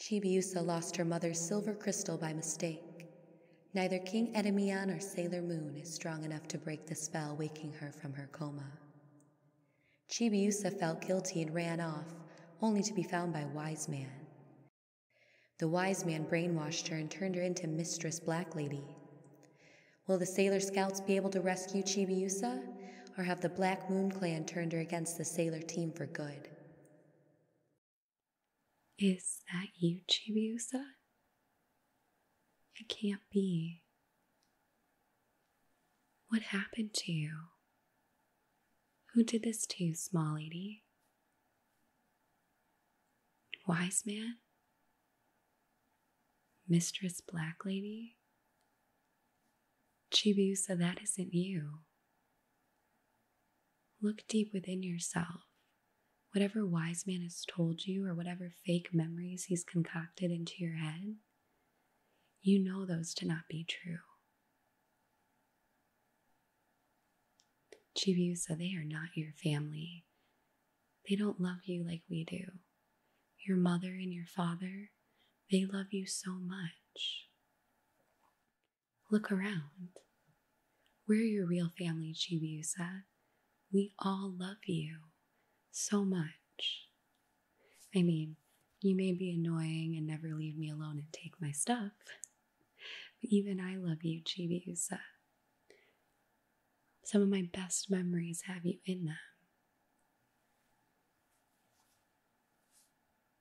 Chibiusa lost her mother's silver crystal by mistake. Neither King Endymion or Sailor Moon is strong enough to break the spell waking her from her coma. Chibiusa felt guilty and ran off, only to be found by Wise Man, the wise man brainwashed her and turned her into Mistress Black Lady. Will the Sailor Scouts be able to rescue Chibiusa, or have the Black Moon Clan turned her against the Sailor team for good? Is that you, Chibiusa? It can't be. What happened to you? Who did this to you, small lady? Wise man? Mistress Black Lady? Chibiusa, that isn't you. Look deep within yourself. Whatever wise man has told you, or whatever fake memories he's concocted into your head, you know those to not be true. Chibiusa, they are not your family. They don't love you like we do. Your mother and your father, they love you so much. Look around. We're your real family, Chibiusa. We all love you so much. I mean, you may be annoying and never leave me alone and take my stuff, even I love you, Chibiusa. Uh, some of my best memories have you in them.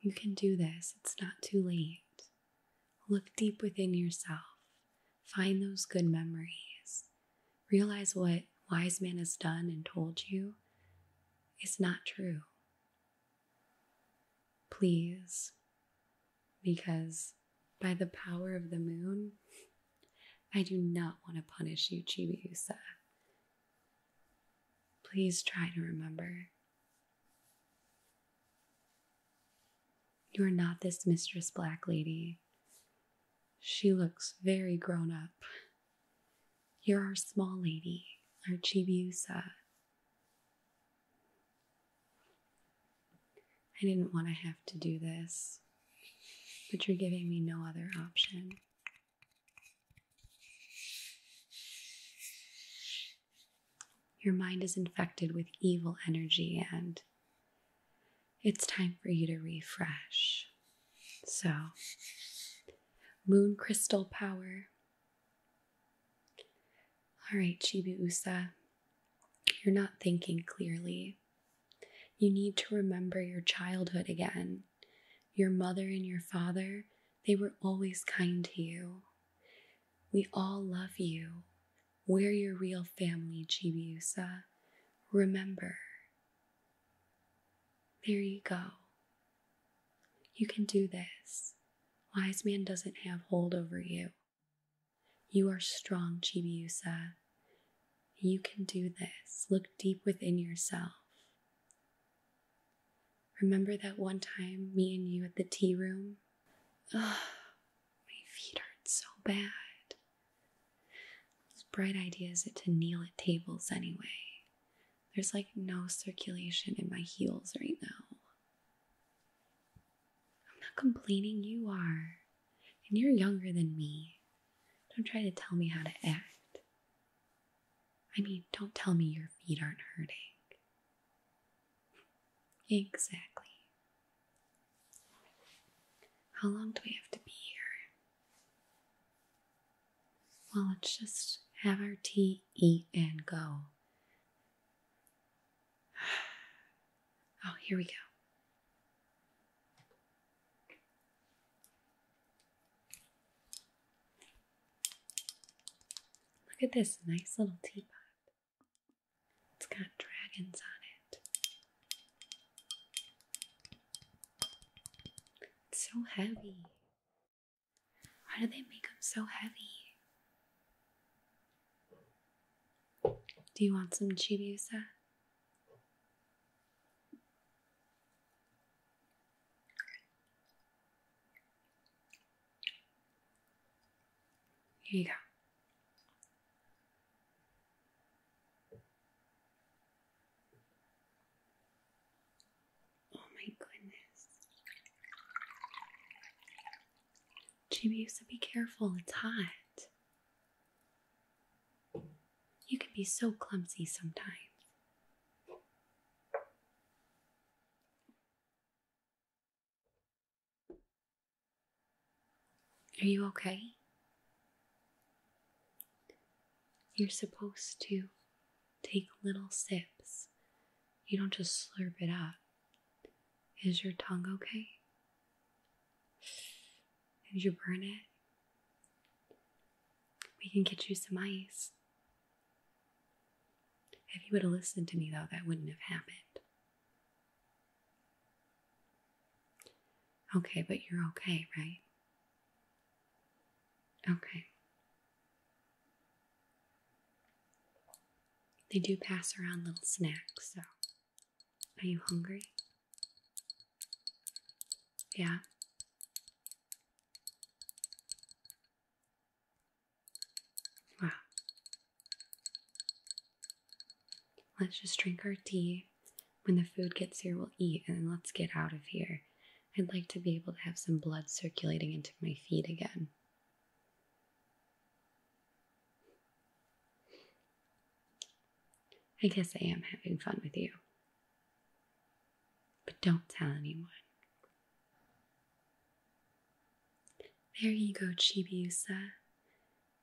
You can do this, it's not too late. Look deep within yourself, find those good memories, realize what wise man has done and told you is not true. Please, because by the power of the moon, I do not want to punish you, Chibi Chibiusa. Please try to remember. You are not this Mistress Black Lady. She looks very grown up. You're our small lady, our Chibiusa. I didn't want to have to do this, but you're giving me no other option. Your mind is infected with evil energy, and it's time for you to refresh. So, moon crystal power all right, Chibi you're not thinking clearly. You need to remember your childhood again. Your mother and your father, they were always kind to you. We all love you. We're your real family, Chibi Remember. There you go. You can do this. Wise man doesn't have hold over you. You are strong, Chibiusa. You can do this. Look deep within yourself. Remember that one time, me and you at the tea room? Ugh, my feet hurt so bad. It's bright ideas to kneel at tables anyway. There's like no circulation in my heels right now. I'm not complaining, you are. And you're younger than me. Don't try to tell me how to act. I mean, don't tell me your feet aren't hurting. Exactly. How long do we have to be here? Well, let's just have our tea, eat, and go. Oh, here we go. Look at this nice little teapot. It's got dragons on it. It's so heavy. Why do they make them so heavy? Do you want some chibusa? Here you go. Oh my goodness. Chibiusa, be careful, it's hot. You can be so clumsy sometimes. Are you okay? You're supposed to take little sips. You don't just slurp it up. Is your tongue okay? Did you burn it? We can get you some ice. If you would have listened to me, though, that wouldn't have happened. Okay, but you're okay, right? Okay. They do pass around little snacks, so are you hungry? Yeah. Wow. Let's just drink our tea. When the food gets here, we'll eat and then let's get out of here. I'd like to be able to have some blood circulating into my feet again. I guess I am having fun with you. But don't tell anyone. There you go, Chibiusa.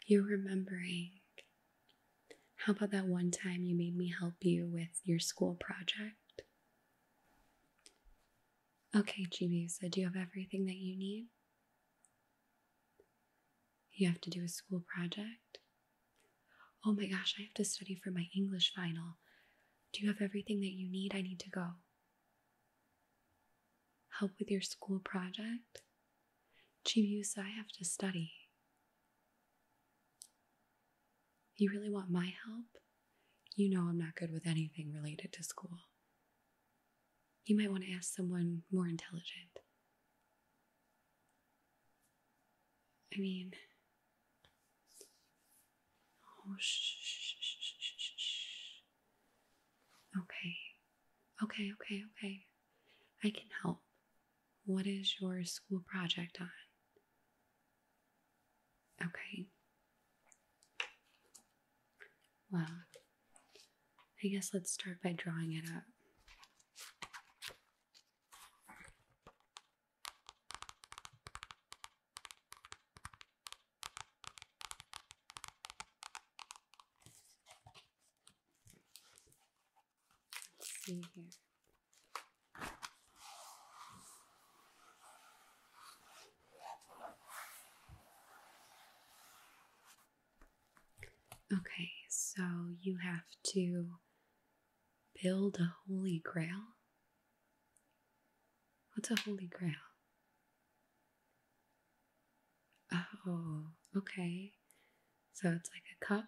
You're remembering. How about that one time you made me help you with your school project? Okay, Chibiusa, do you have everything that you need? You have to do a school project? Oh my gosh, I have to study for my English final. Do you have everything that you need? I need to go. Help with your school project? Chibiusa. I have to study. You really want my help? You know I'm not good with anything related to school. You might want to ask someone more intelligent. I mean, oh, shh, shh, shh, shh, shh, shh. Okay, okay, okay, okay. I can help. What is your school project on? Okay. Well, I guess let's start by drawing it up. Let's see here. Okay, so you have to build a holy grail? What's a holy grail? Oh, okay. So it's like a cup?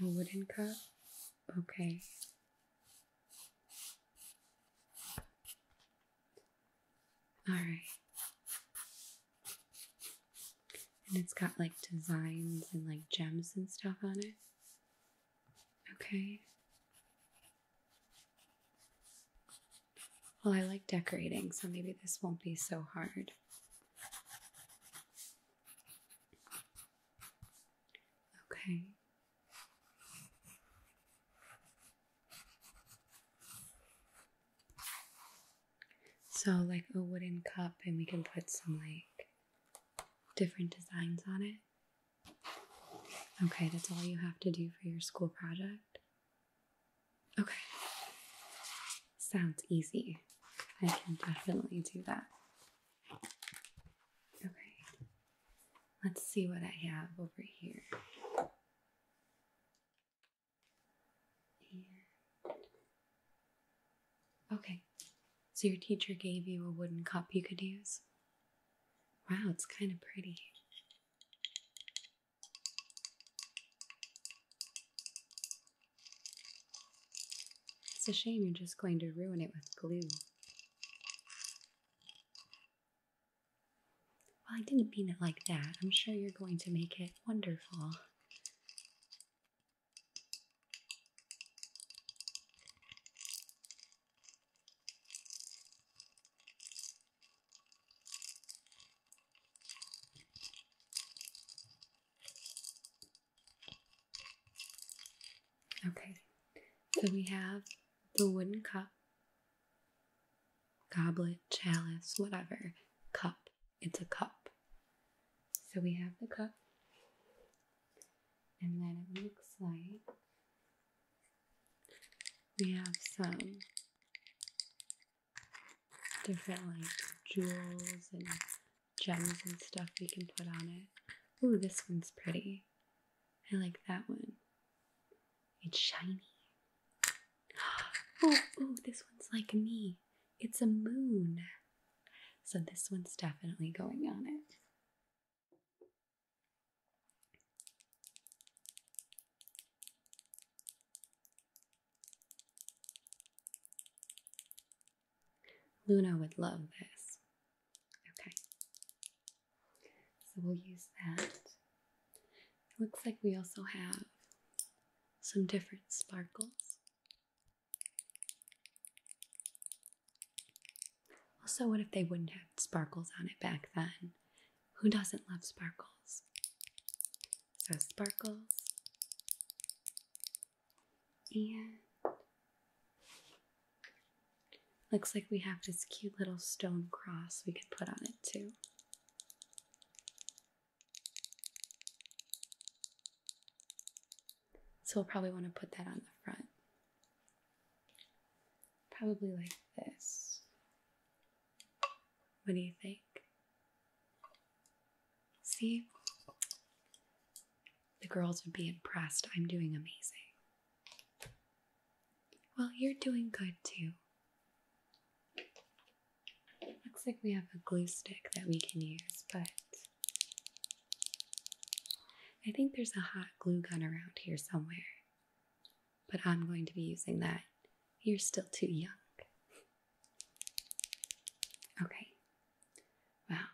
A wooden cup? Okay. All right. And it's got like designs and like gems and stuff on it. Okay. Well, I like decorating, so maybe this won't be so hard. Okay. So, like a wooden cup, and we can put some like different designs on it. Okay, that's all you have to do for your school project. Okay. Sounds easy. I can definitely do that. Okay, let's see what I have over here. okay, so your teacher gave you a wooden cup you could use. Wow, it's kind of pretty. It's a shame you're just going to ruin it with glue. Well, I didn't mean it like that. I'm sure you're going to make it wonderful. Okay, so we have the wooden cup, goblet, chalice, whatever. Cup. It's a cup. So we have the cup, and then it looks like we have some different like jewels and gems and stuff we can put on it. Ooh, this one's pretty. I like that one. It's shiny. Oh, oh, this one's like me. It's a moon. So this one's definitely going on it. Luna would love this. Okay. So we'll use that. looks like we also have some different sparkles. Also, what if they wouldn't have sparkles on it back then? Who doesn't love sparkles? So, sparkles. And looks like we have this cute little stone cross we could put on it too. So we'll probably want to put that on the front. Probably like this. What do you think? See? The girls would be impressed. I'm doing amazing. Well, you're doing good too. Looks like we have a glue stick that we can use, but I think there's a hot glue gun around here somewhere. But I'm going to be using that. You're still too young. Okay. Wow.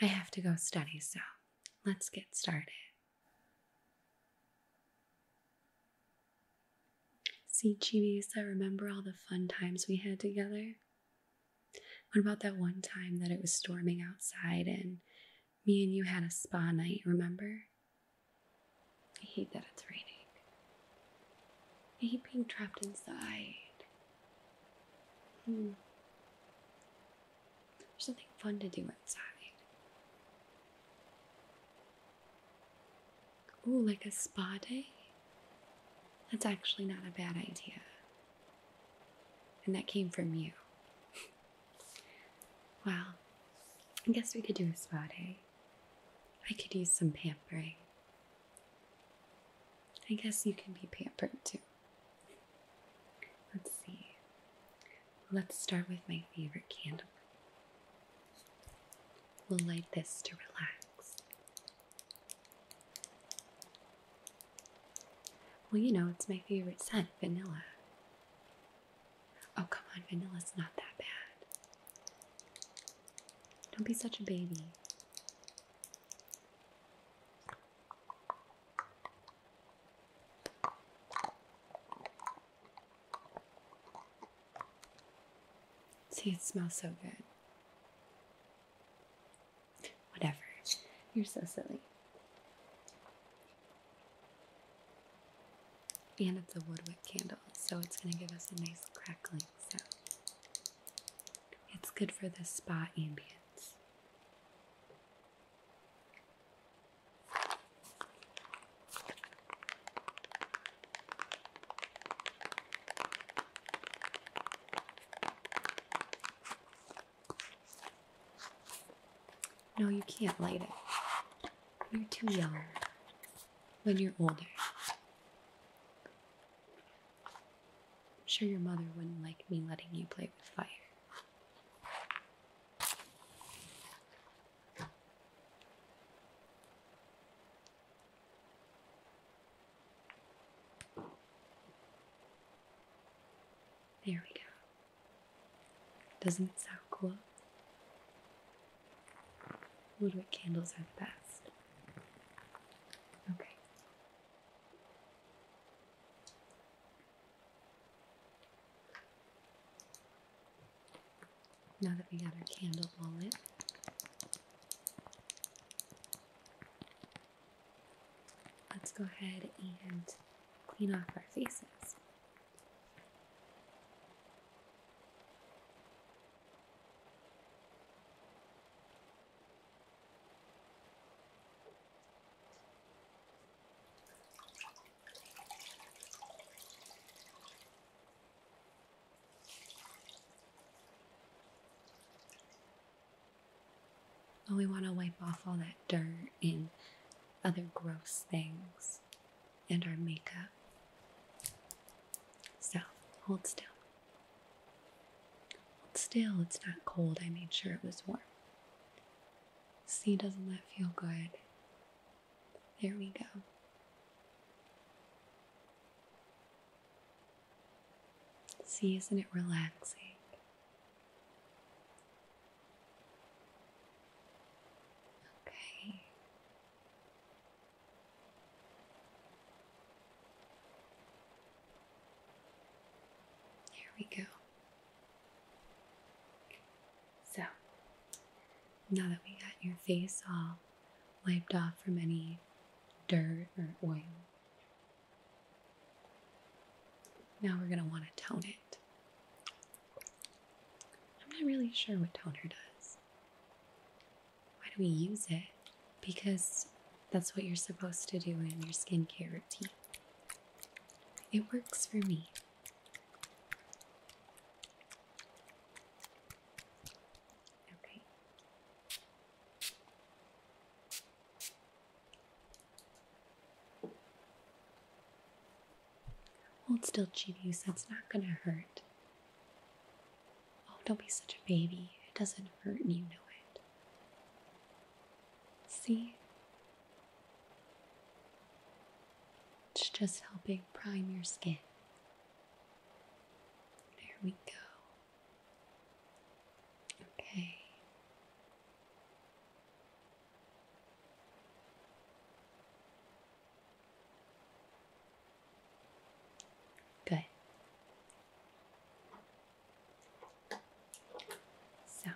I have to go study, so let's get started. See, Chibisa, remember all the fun times we had together? What about that one time that it was storming outside and me and you had a spa night, remember? I hate that it's raining. I hate being trapped inside. Hmm. There's something fun to do inside. Ooh, like a spa day? That's actually not a bad idea. And that came from you. well, I guess we could do a spa day. I could use some pampering. I guess you can be pampered too. Let's see. Let's start with my favorite candle. We'll light this to relax. Well, you know, it's my favorite scent, vanilla. Oh, come on, vanilla's not that bad. Don't be such a baby. See, it smells so good. Whatever. You're so silly. And it's a woodwick candle, so it's going to give us a nice crackling sound. It's good for the spa ambience. No, you can't light it. You're too young when you're older. I'm sure your mother wouldn't like me letting you play with fire. There we go. Doesn't it sound cool? Woodwick candles are the best. Okay, now that we got our candle all lit, let's go ahead and clean off our faces. But we want to wipe off all that dirt and other gross things and our makeup. So hold still still, it's not cold. I made sure it was warm. See, doesn't that feel good? There we go. See, isn't it relaxing? Okay. There we go. So, now that we got your face all wiped off from any dirt or oil, now we're going to want to tone it. I'm not really sure what toner does why do we use it? Because that's what you're supposed to do in your skincare routine. It works for me. Okay. Hold still, Chibi, so it's not going to hurt. Oh, don't be such a baby. It doesn't hurt and you know it. See? It's just helping prime your skin. There we go. Okay. Good. So,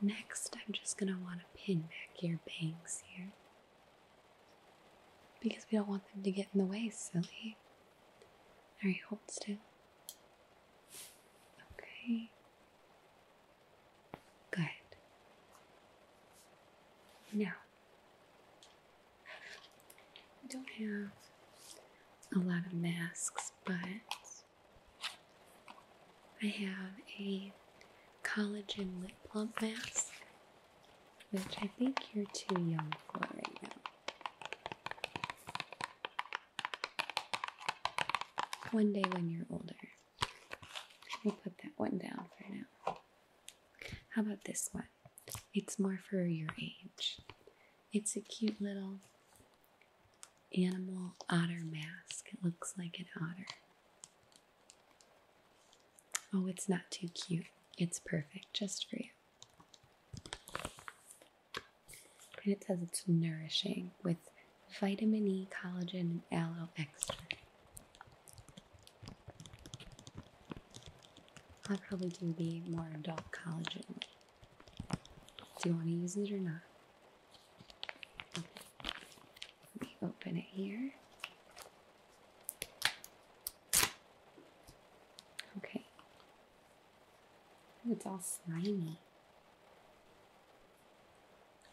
next I'm just going to want to pin back your bangs here. Because we don't want them to get in the way, silly. Alright, hold still. Okay. Good. Now, I don't have a lot of masks, but I have a collagen lip plump mask, which I think you're too young for right now. One day when you're older. We'll put that one down for now. How about this one? It's more for your age. It's a cute little animal otter mask. It looks like an otter. Oh, it's not too cute. It's perfect just for you. And it says it's nourishing with vitamin E, collagen, and aloe extract. I probably do be more adult collagen. Do you want to use it or not? Let me open it here. Okay. it's all slimy.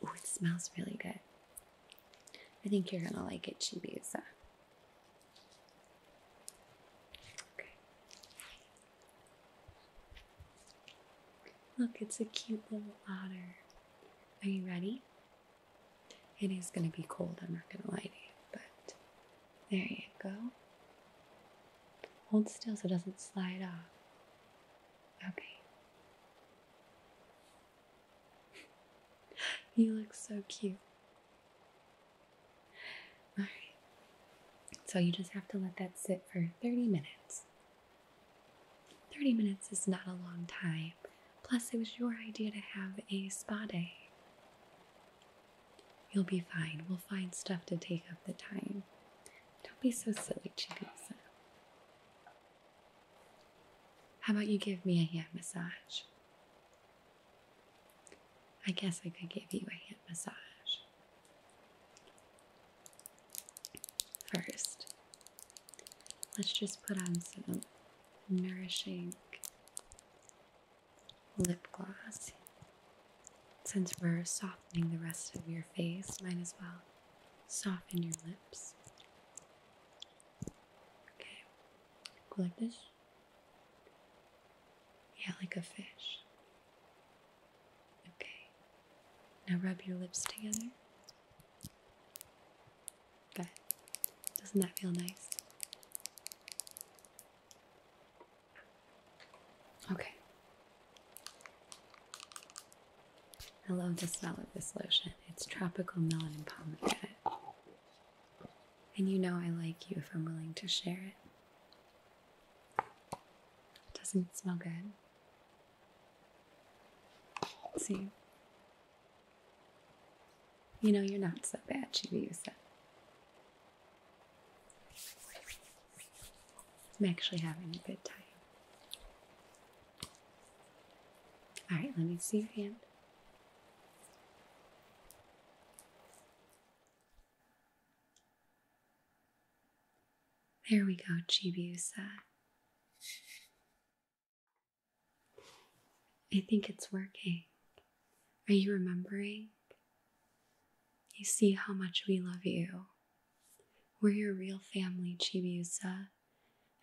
Oh, it smells really good. I think you're gonna like it, Chibisa. Look, it's a cute little otter. Are you ready? It is going to be cold, I'm not going to lie to you, but there you go. Hold still so it doesn't slide off. Okay. you look so cute. All right. So you just have to let that sit for 30 minutes. 30 minutes is not a long time. Plus, it was your idea to have a spa day. You'll be fine. We'll find stuff to take up the time. Don't be so silly, Chigusa. How about you give me a hand massage? I guess I could give you a hand massage. First, let's just put on some nourishing lip gloss. Since we're softening the rest of your face, might as well soften your lips. Okay, go like this. Yeah, like a fish. Okay. Now rub your lips together. Good. Doesn't that feel nice? Okay. I love the smell of this lotion. It's tropical melon and pomegranate. And you know I like you if I'm willing to share it. Doesn't it smell good? See? You know you're not so bad, Chibiusa. I'm actually having a good time. All right, let me see your hand. There we go, Chibiusa. I think it's working. Are you remembering? You see how much we love you. We're your real family, Chibiusa,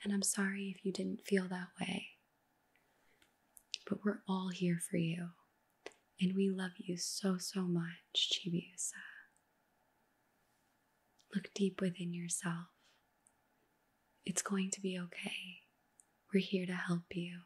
and I'm sorry if you didn't feel that way. But we're all here for you, and we love you so, so much, Chibiusa. Look deep within yourself. It's going to be okay. We're here to help you.